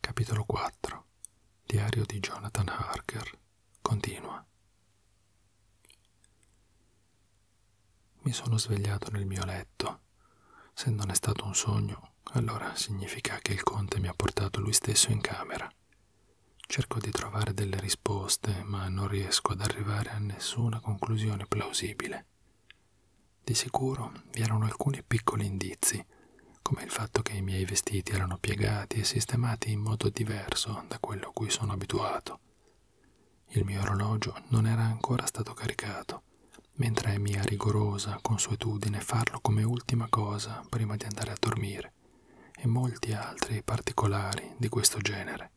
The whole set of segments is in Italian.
Capitolo 4 Diario di Jonathan Harker Continua Mi sono svegliato nel mio letto. Se non è stato un sogno, allora significa che il conte mi ha portato lui stesso in camera. Cerco di trovare delle risposte, ma non riesco ad arrivare a nessuna conclusione plausibile. Di sicuro vi erano alcuni piccoli indizi, come il fatto che i miei vestiti erano piegati e sistemati in modo diverso da quello a cui sono abituato. Il mio orologio non era ancora stato caricato, mentre è mia rigorosa consuetudine farlo come ultima cosa prima di andare a dormire, e molti altri particolari di questo genere.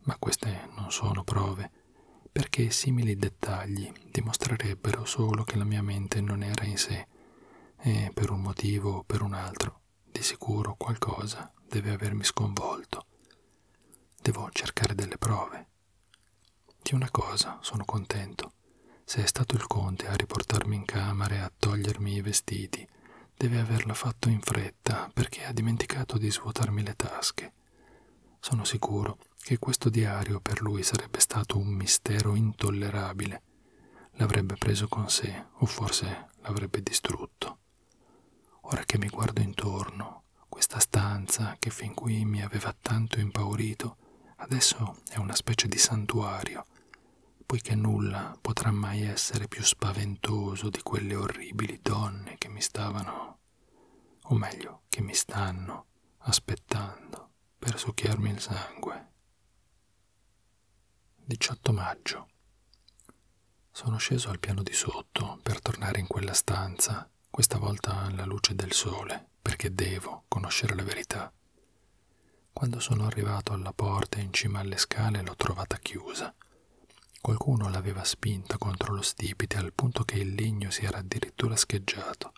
Ma queste non sono prove, perché simili dettagli dimostrerebbero solo che la mia mente non era in sé e per un motivo o per un altro, di sicuro qualcosa deve avermi sconvolto. Devo cercare delle prove. Di una cosa sono contento. Se è stato il conte a riportarmi in camera e a togliermi i vestiti, deve averla fatto in fretta perché ha dimenticato di svuotarmi le tasche. Sono sicuro che questo diario per lui sarebbe stato un mistero intollerabile. L'avrebbe preso con sé o forse l'avrebbe distrutto. Ora che mi guardo intorno, questa stanza che fin qui mi aveva tanto impaurito, adesso è una specie di santuario, poiché nulla potrà mai essere più spaventoso di quelle orribili donne che mi stavano o meglio che mi stanno aspettando per succhiarmi il sangue. 18 maggio. Sono sceso al piano di sotto per tornare in quella stanza, questa volta alla luce del sole, perché devo conoscere la verità. Quando sono arrivato alla porta in cima alle scale l'ho trovata chiusa Qualcuno l'aveva spinta contro lo stipite al punto che il legno si era addirittura scheggiato.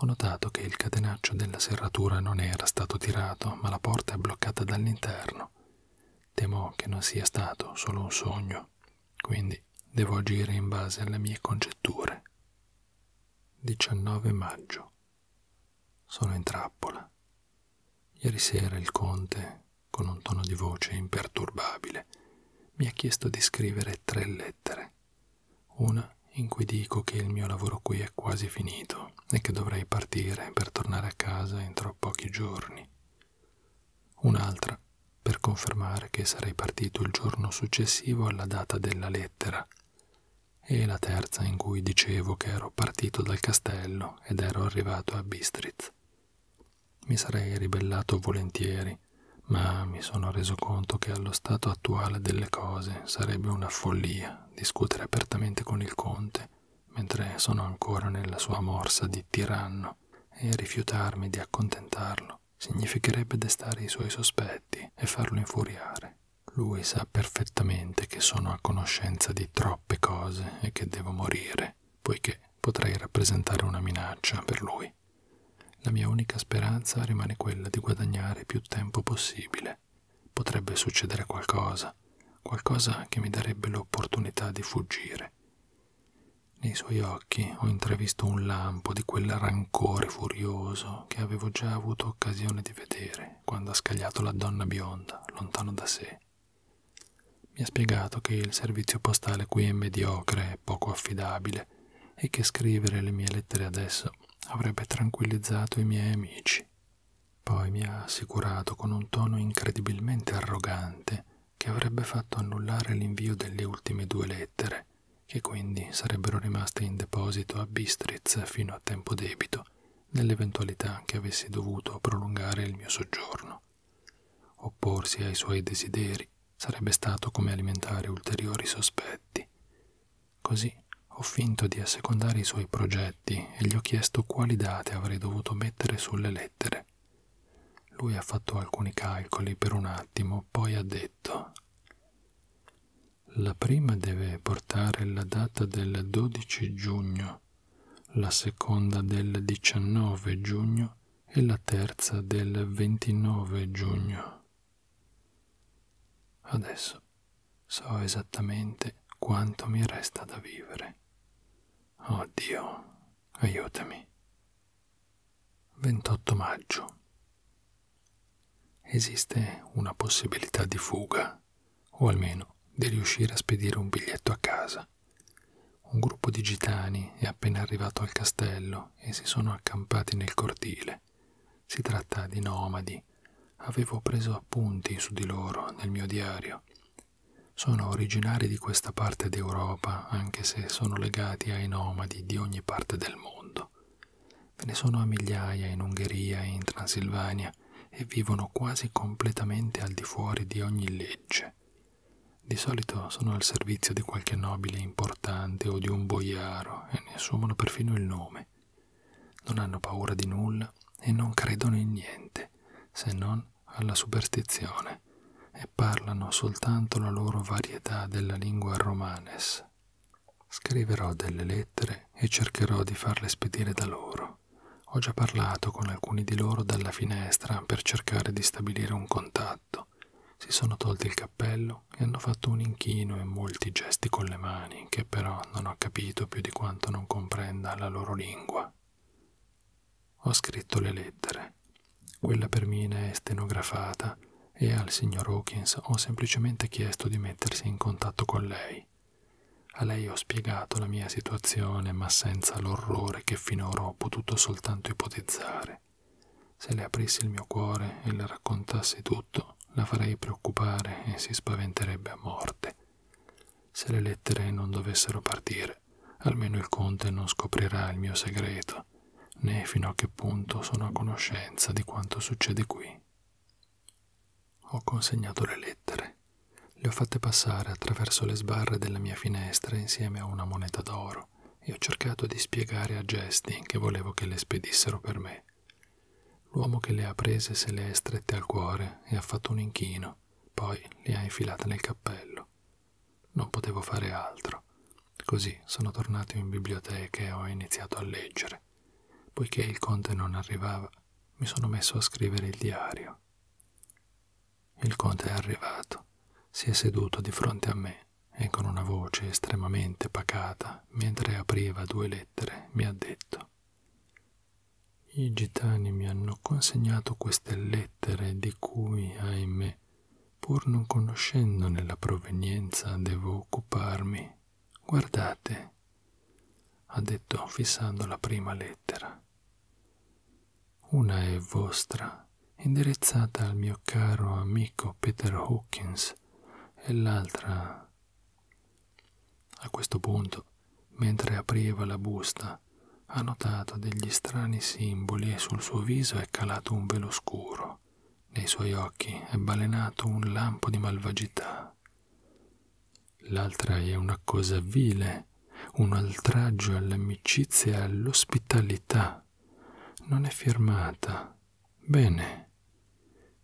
Ho notato che il catenaccio della serratura non era stato tirato, ma la porta è bloccata dall'interno. Temo che non sia stato solo un sogno, quindi devo agire in base alle mie congetture. 19 maggio. Sono in trappola. Ieri sera il conte, con un tono di voce imperturbabile, mi ha chiesto di scrivere tre lettere. Una in cui dico che il mio lavoro qui è quasi finito e che dovrei partire per tornare a casa entro pochi giorni. Un'altra per confermare che sarei partito il giorno successivo alla data della lettera. E la terza in cui dicevo che ero partito dal castello ed ero arrivato a Bistritz. Mi sarei ribellato volentieri, ma mi sono reso conto che allo stato attuale delle cose sarebbe una follia discutere apertamente con il conte, mentre sono ancora nella sua morsa di tiranno, e rifiutarmi di accontentarlo significherebbe destare i suoi sospetti e farlo infuriare. Lui sa perfettamente che sono a conoscenza di troppe cose e che devo morire, poiché potrei rappresentare una minaccia per lui. La mia unica speranza rimane quella di guadagnare più tempo possibile. Potrebbe succedere qualcosa, qualcosa che mi darebbe l'opportunità di fuggire. Nei suoi occhi ho intravisto un lampo di quel rancore furioso che avevo già avuto occasione di vedere quando ha scagliato la donna bionda lontano da sé mi ha spiegato che il servizio postale qui è mediocre e poco affidabile e che scrivere le mie lettere adesso avrebbe tranquillizzato i miei amici. Poi mi ha assicurato con un tono incredibilmente arrogante che avrebbe fatto annullare l'invio delle ultime due lettere, che quindi sarebbero rimaste in deposito a Bistritz fino a tempo debito, nell'eventualità che avessi dovuto prolungare il mio soggiorno vita. Opporsi ai suoi desideri sarebbe stato come alimentare ulteriori sospetti. Così ho finto di assecondare i suoi progetti e gli ho chiesto quali date avrei dovuto mettere sulle lettere. Lui ha fatto alcuni calcoli per un attimo, poi ha detto La prima deve portare la data del 12 giugno giugno, la seconda del 19 giugno e la terza del 29 giugno. Adesso so esattamente quanto mi resta da vivere. Oh Dio, aiutami. 28 maggio. Esiste una possibilità di fuga o almeno di riuscire a spedire un biglietto a casa. Un gruppo di gitani è appena arrivato al castello e si sono accampati nel cortile. Si tratta di nomadi. Avevo preso appunti su di loro nel mio diario. Sono originari di questa parte d'Europa, anche se sono legati ai nomadi di ogni parte del mondo. Ve ne sono a migliaia in Ungheria e in Transilvania, montagna e vivono quasi completamente al di fuori di ogni legge. Di solito sono al servizio di qualche nobile importante o di un boiaro e ne assumono perfino il nome. Non hanno paura di nulla e non credono in niente, se non alla superstizione, e parlano soltanto la loro varietà della lingua romanes. Scriverò delle lettere e cercherò di farle spedire da loro. Ho già parlato con alcuni di loro dalla finestra per cercare di stabilire un contatto. Si sono tolti il cappello e hanno fatto un inchino e molti gesti con le mani che però non ho capito più di quanto non comprenda la loro lingua. Ho scritto le lettere. Quella per Mina è stenografata e al signor Hawkins ho semplicemente chiesto di mettersi in contatto con lei. A lei ho spiegato la mia situazione, ma senza l'orrore che finora ho potuto soltanto ipotizzare. Se le aprissi il mio cuore e le raccontassi tutto, la farei preoccupare e si spaventerebbe a morte. Se le lettere non dovessero partire, almeno il conte non scoprirà il mio segreto, né fino a che punto sono a conoscenza di quanto succede qui. Ho consegnato le lettere. Le ho fatte passare attraverso le sbarre della mia finestra insieme a una moneta d'oro e ho cercato di spiegare a gesti che volevo che le spedissero per me. L'uomo che le ha prese se le è strette al cuore e ha fatto un inchino, poi le ha infilate nel cappello. Non potevo fare altro. Così sono tornato in biblioteca e ho iniziato a leggere. Poiché il conte non arrivava, mi sono messo a scrivere il diario. Il conte è arrivato, si è seduto di fronte a me e con una voce estremamente pacata, mentre apriva due lettere, mi ha detto I gitani mi hanno consegnato queste lettere di cui, ahimè, pur non conoscendone la provenienza, devo occuparmi Guardate, ha detto fissando la prima lettera. Una è vostra, indirizzata al mio caro amico Peter Hawkins, e l'altra... A questo punto, mentre apriva la busta, ha notato degli strani simboli e sul suo viso è calato un velo scuro. Nei suoi occhi è balenato un lampo di malvagità. L'altra è una cosa vile, un oltraggio all'amicizia e all'ospitalità. Non è firmata. Bene.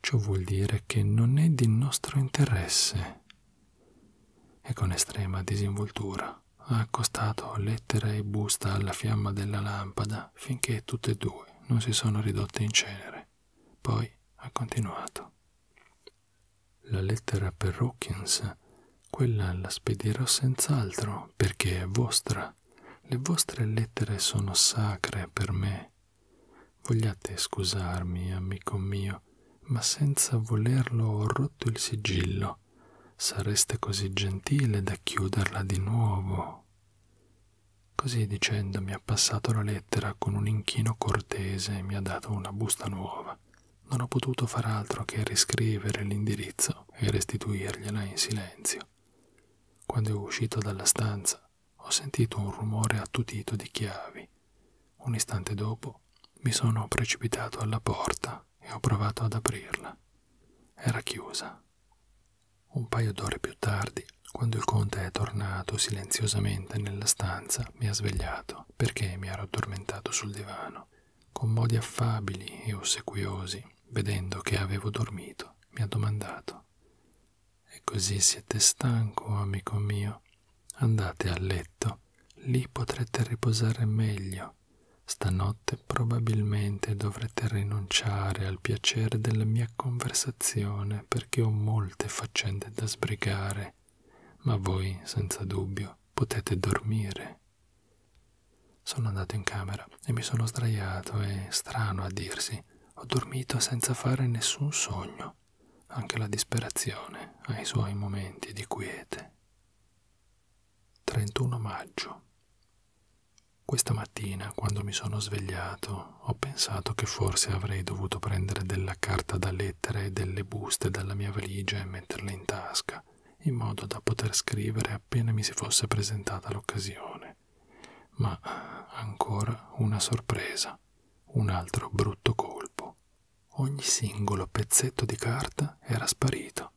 Ciò vuol dire che non è di nostro interesse. E con estrema disinvoltura ha accostato lettera e busta alla fiamma della lampada finché tutte e due non si sono ridotte in cenere. Poi ha continuato. La lettera per Hawkins, quella la spedirò senz'altro perché è vostra. Le vostre lettere sono sacre per me. Vogliate scusarmi, amico mio, ma senza volerlo ho rotto il sigillo. Sareste così gentile da chiuderla di nuovo. Così dicendo mi ha passato la lettera con un inchino cortese e mi ha dato una busta nuova. Non ho potuto far altro che riscrivere l'indirizzo e restituirgliela in silenzio. Quando è uscito dalla stanza ho sentito un rumore attutito di chiavi. Un istante dopo mi sono precipitato alla porta e ho provato ad aprirla. Era chiusa. Un paio d'ore più tardi quando il conte è tornato silenziosamente nella stanza, mi ha svegliato perché mi ero addormentato sul divano. Con modi affabili e ossequiosi, vedendo che avevo dormito, mi ha domandato: E così siete stanco, amico mio? Andate a letto, lì potrete riposare meglio. Stanotte probabilmente dovrete rinunciare al piacere della mia conversazione perché ho molte faccende grande da sbrigare, ma voi senza dubbio potete dormire. Sono andato in camera e mi sono sdraiato e, strano a dirsi, ho dormito senza fare nessun sogno. Anche la disperazione ha i suoi momenti di quiete. 31 maggio. Questa mattina, quando mi sono svegliato, ho pensato che forse avrei dovuto prendere della carta da lettera e delle buste dalla mia valigia e metterle in tasca, in modo da poter scrivere appena mi si fosse presentata l'occasione. Ma ancora una sorpresa, un altro brutto colpo. Ogni singolo pezzetto di carta era sparito,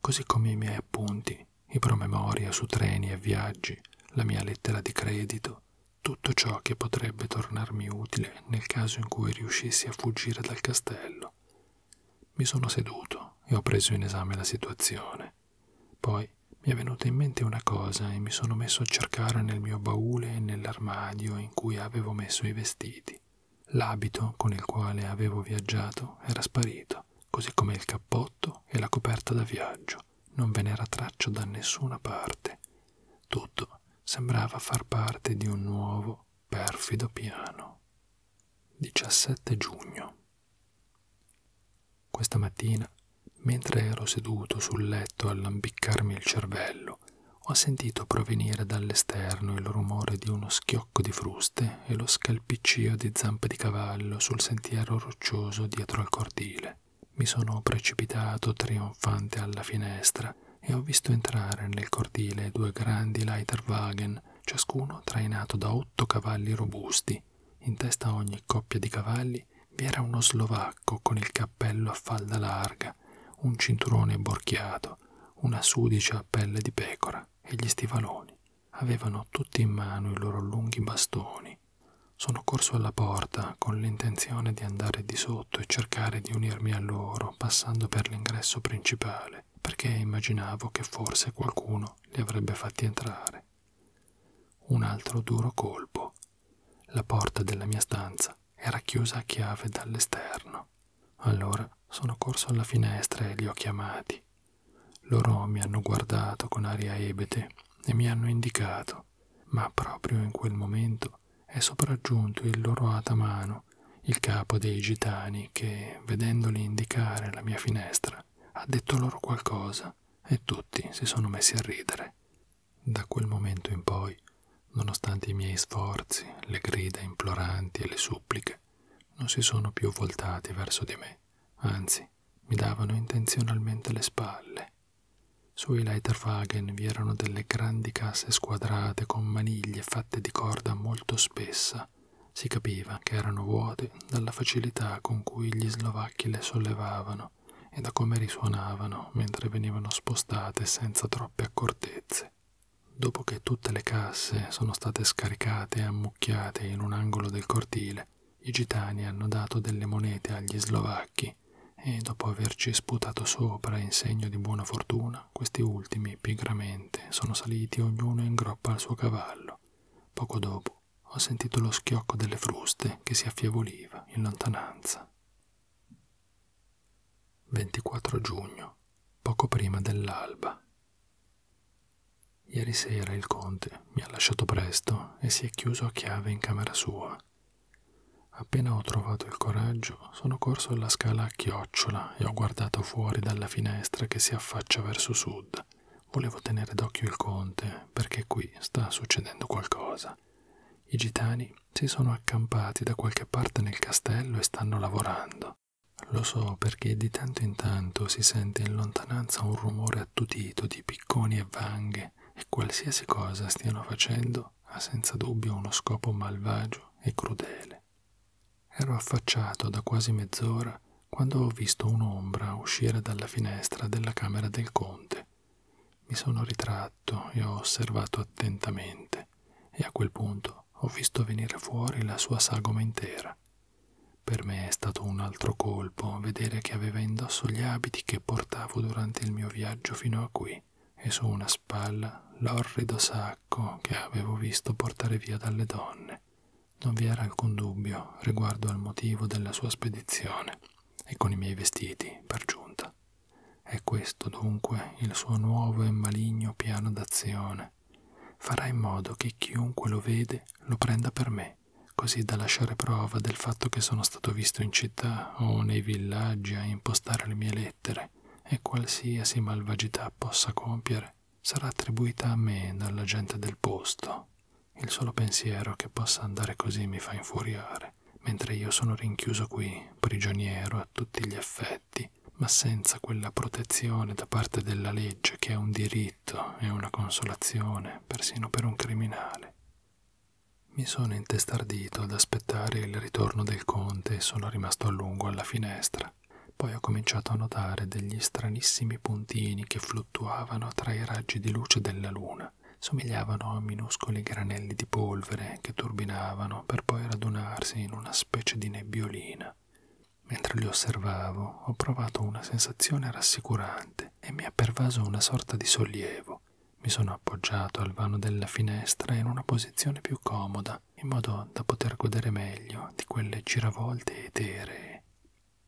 così come i miei appunti, i promemoria su treni e viaggi, la mia lettera di credito, tutto ciò che potrebbe tornarmi utile nel caso in cui riuscissi a fuggire dal castello. Mi sono seduto e ho preso in esame la situazione. Poi mi è venuta in mente una cosa e mi sono messo a cercare nel mio baule e nell'armadio in cui avevo messo i vestiti. L'abito con il quale avevo viaggiato era sparito, così come il cappotto e la coperta da viaggio non ve n'era traccia da nessuna parte. Tutto sembrava far parte di un nuovo, perfido piano. 17 giugno. Questa mattina, mentre ero seduto sul letto a lambiccarmi il cervello, ho sentito provenire dall'esterno il rumore di uno schiocco di fruste e lo scalpiccio di zampe di cavallo sul sentiero roccioso dietro al cortile. Mi sono precipitato trionfante alla finestra e ho visto entrare nel cortile due grandi Leiterwagen, ciascuno trainato da otto cavalli robusti. In testa a ogni coppia di cavalli vi era uno slovacco con il cappello a falda larga, un cinturone borchiato, una sudicia a pelle di pecora e gli stivaloni. Avevano tutti in mano i loro lunghi bastoni. Sono corso alla porta con l'intenzione di andare di sotto e cercare di unirmi a loro passando per l'ingresso principale, perché immaginavo che forse qualcuno li avrebbe fatti entrare. Un altro duro colpo. La porta della mia stanza era chiusa a chiave dall'esterno. Allora sono corso alla finestra e li ho chiamati. Loro mi hanno guardato con aria ebete e mi hanno indicato ma proprio in quel momento è sopraggiunto il loro atamano, il capo dei gitani, che, vedendoli indicare la mia finestra, ha detto loro qualcosa e tutti si sono messi a ridere. Da quel momento in poi, nonostante i miei sforzi, le grida imploranti e le suppliche, non si sono più voltati verso di me, anzi mi davano intenzionalmente le spalle sui Leiterwagen vi erano delle grandi casse squadrate con maniglie fatte di corda molto spessa. Si capiva che erano vuote dalla facilità con cui gli slovacchi le sollevavano e da come risuonavano mentre venivano spostate senza troppe accortezze. Dopo che tutte le casse sono state scaricate e ammucchiate in un angolo del cortile, i gitani hanno dato delle monete agli slovacchi e, dopo averci sputato sopra in segno di buona fortuna, questi ultimi pigramente sono saliti ognuno in groppa al suo cavallo. Poco dopo ho sentito lo schiocco delle fruste che si affievoliva in lontananza. 24 giugno, poco prima dell'alba. Ieri sera il conte mi ha lasciato presto e si è chiuso a chiave in camera sua. Appena ho trovato il coraggio, sono corso alla scala a chiocciola e ho guardato fuori dalla finestra che si affaccia verso sud. Volevo tenere d'occhio il conte perché qui sta succedendo qualcosa. I gitani si sono accampati da qualche parte nel castello e stanno lavorando. Lo so perché di tanto in tanto si sente in lontananza un rumore intrattutito di picconi e vanghe e qualsiasi cosa stiano facendo ha senza dubbio uno scopo malvagio e crudele. Ero affacciato da quasi mezz'ora quando ho visto un'ombra uscire dalla finestra della camera del conte. Mi sono ritratto e ho osservato attentamente e a quel punto ho visto venire fuori la sua sagoma intera, per me è stato un altro colpo vedere che aveva indosso gli abiti che portavo durante il mio viaggio fino a qui e su una spalla l'orrido sacco che avevo visto portare via dalle donne. Non vi era alcun dubbio riguardo al motivo della sua spedizione e con i miei vestiti, per giunta. È questo dunque il suo nuovo e maligno piano d'azione. Farà in modo che chiunque lo vede lo prenda per me così da lasciare prova del fatto che sono stato visto in città o nei villaggi a impostare le mie lettere e qualsiasi malvagità possa compiere sarà attribuita a me dalla gente del posto. Il solo pensiero che possa andare così mi fa infuriare, mentre io sono rinchiuso qui, prigioniero a tutti gli effetti, ma senza quella protezione da parte della legge che è un diritto e una consolazione persino per un criminale. Mi sono intestardito ad aspettare il ritorno del conte e sono rimasto a lungo alla finestra. Poi ho cominciato a notare degli stranissimi puntini che fluttuavano tra i raggi di luce della luna. Somigliavano a minuscoli granelli di polvere che turbinavano per poi radunarsi in una specie di nebbiolina. Mentre li osservavo ho provato una sensazione rassicurante e mi ha pervaso una sorta di sollievo. Mi sono appoggiato al vano della finestra in una posizione più comoda, in modo da poter godere meglio di quelle giravolte eteree.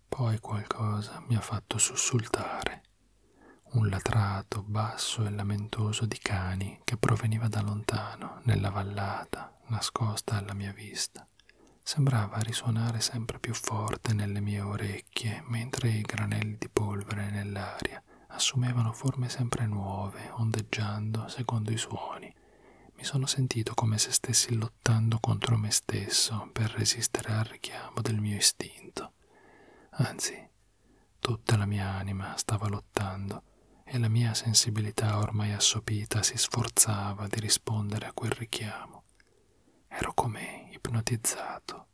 Poi qualcosa mi ha fatto sussultare. Un latrato basso e lamentoso di cani che proveniva da lontano, nella vallata, nascosta alla mia vista sembrava risuonare sempre più forte nelle mie orecchie, mentre i granelli di polvere nell'aria assumevano forme sempre nuove, ondeggiando secondo i suoni. Mi sono sentito come se stessi lottando contro me stesso per resistere al richiamo del mio istinto. Anzi, tutta la mia anima stava lottando e la mia sensibilità ormai assopita si sforzava di rispondere a quel richiamo. Ero come ipnotizzato.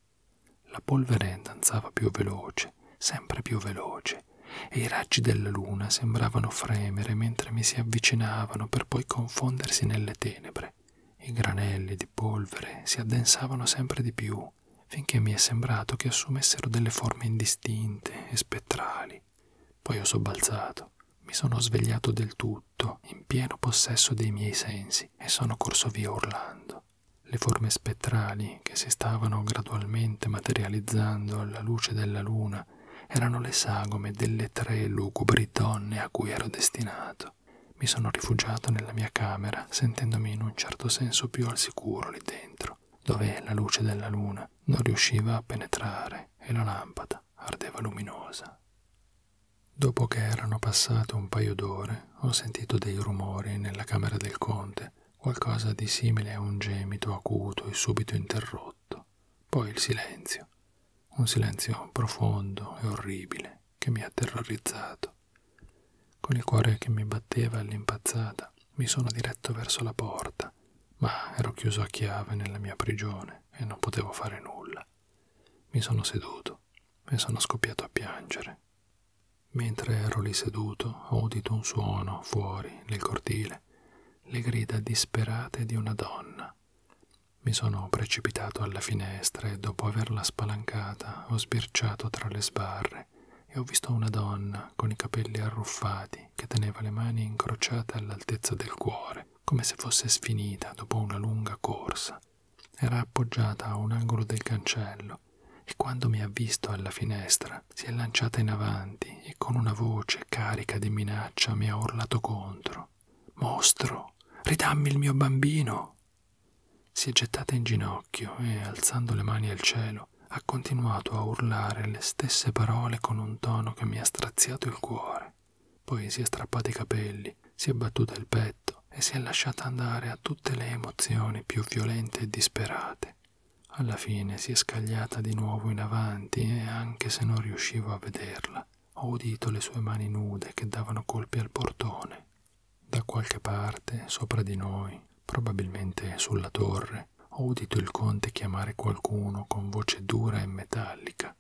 La polvere danzava più veloce, sempre più veloce, e i raggi della luna sembravano fremere mentre mi si avvicinavano per poi confondersi nelle tenebre. I granelli di polvere si addensavano sempre di più, finché mi è sembrato che assumessero delle forme indistinte e spettrali, poi ho sobbalzato. Mi sono svegliato del tutto, in pieno possesso dei miei sensi, e sono corso via urlando. Le forme spettrali che si stavano gradualmente materializzando alla luce della luna erano le sagome delle tre lugubri donne a cui ero destinato. Mi sono rifugiato nella mia camera, sentendomi in un certo senso più al sicuro lì dentro, dove la luce della luna non riusciva a penetrare e la lampada fiamma ardeva luminosa. Dopo che erano passato un paio d'ore, ho sentito dei rumori nella camera del conte, qualcosa di simile a un gemito acuto e subito interrotto. Poi il silenzio, un silenzio profondo e orribile che mi ha terrorizzato. Con il cuore che mi batteva all'impazzata, mi sono diretto verso la porta, ma ero chiuso a chiave nella mia prigione ragione e non potevo fare nulla. Mi sono seduto e sono scoppiato a piangere. Mentre ero lì seduto ho udito un suono fuori nel cortile, le grida disperate di una donna. Mi sono precipitato alla finestra e dopo averla spalancata ho sbirciato tra le sbarre e ho visto una donna con i capelli arruffati che teneva le mani incrociate all'altezza del cuore come se fosse sfinita dopo una lunga corsa. Era appoggiata a un angolo del cancello e quando mi ha visto alla finestra si è lanciata in avanti e con una voce carica di minaccia mi ha urlato contro. Mostro, ridammi il mio bambino! Si è gettata in ginocchio e, alzando le mani al cielo, ha continuato a urlare le stesse parole con un tono che mi ha straziato il cuore. Poi si è strappata i capelli, si è battuta il petto e si è lasciata andare a tutte le emozioni più violente e disperate. Alla fine si è scagliata di nuovo in avanti e anche se non riuscivo a vederla, ho udito le sue mani nude che davano colpi al portone. Da qualche parte, sopra di noi, probabilmente sulla torre, ore ho udito il conte chiamare qualcuno con voce dura e metallica.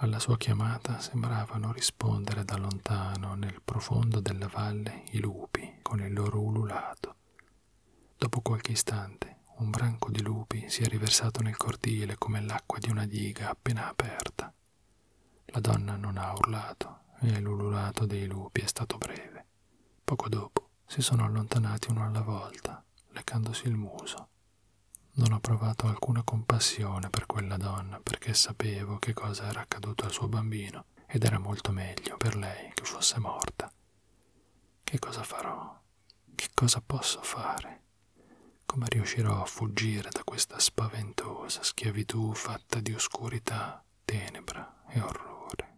Alla sua chiamata sembravano rispondere da lontano nel profondo della valle i lupi con il loro ululato. Dopo qualche istante un branco di lupi si è riversato nel cortile come l'acqua di una diga appena aperta. La donna non ha urlato e l'ululato dei lupi è stato breve. Poco dopo si sono allontanati uno alla volta, leccandosi il muso non ho provato alcuna compassione per quella donna perché sapevo che cosa era accaduto al suo bambino ed era molto meglio per lei che fosse morta. Che cosa farò? Che cosa posso fare? Come riuscirò a fuggire da questa spaventosa schiavitù fatta di oscurità, tenebra e orrore?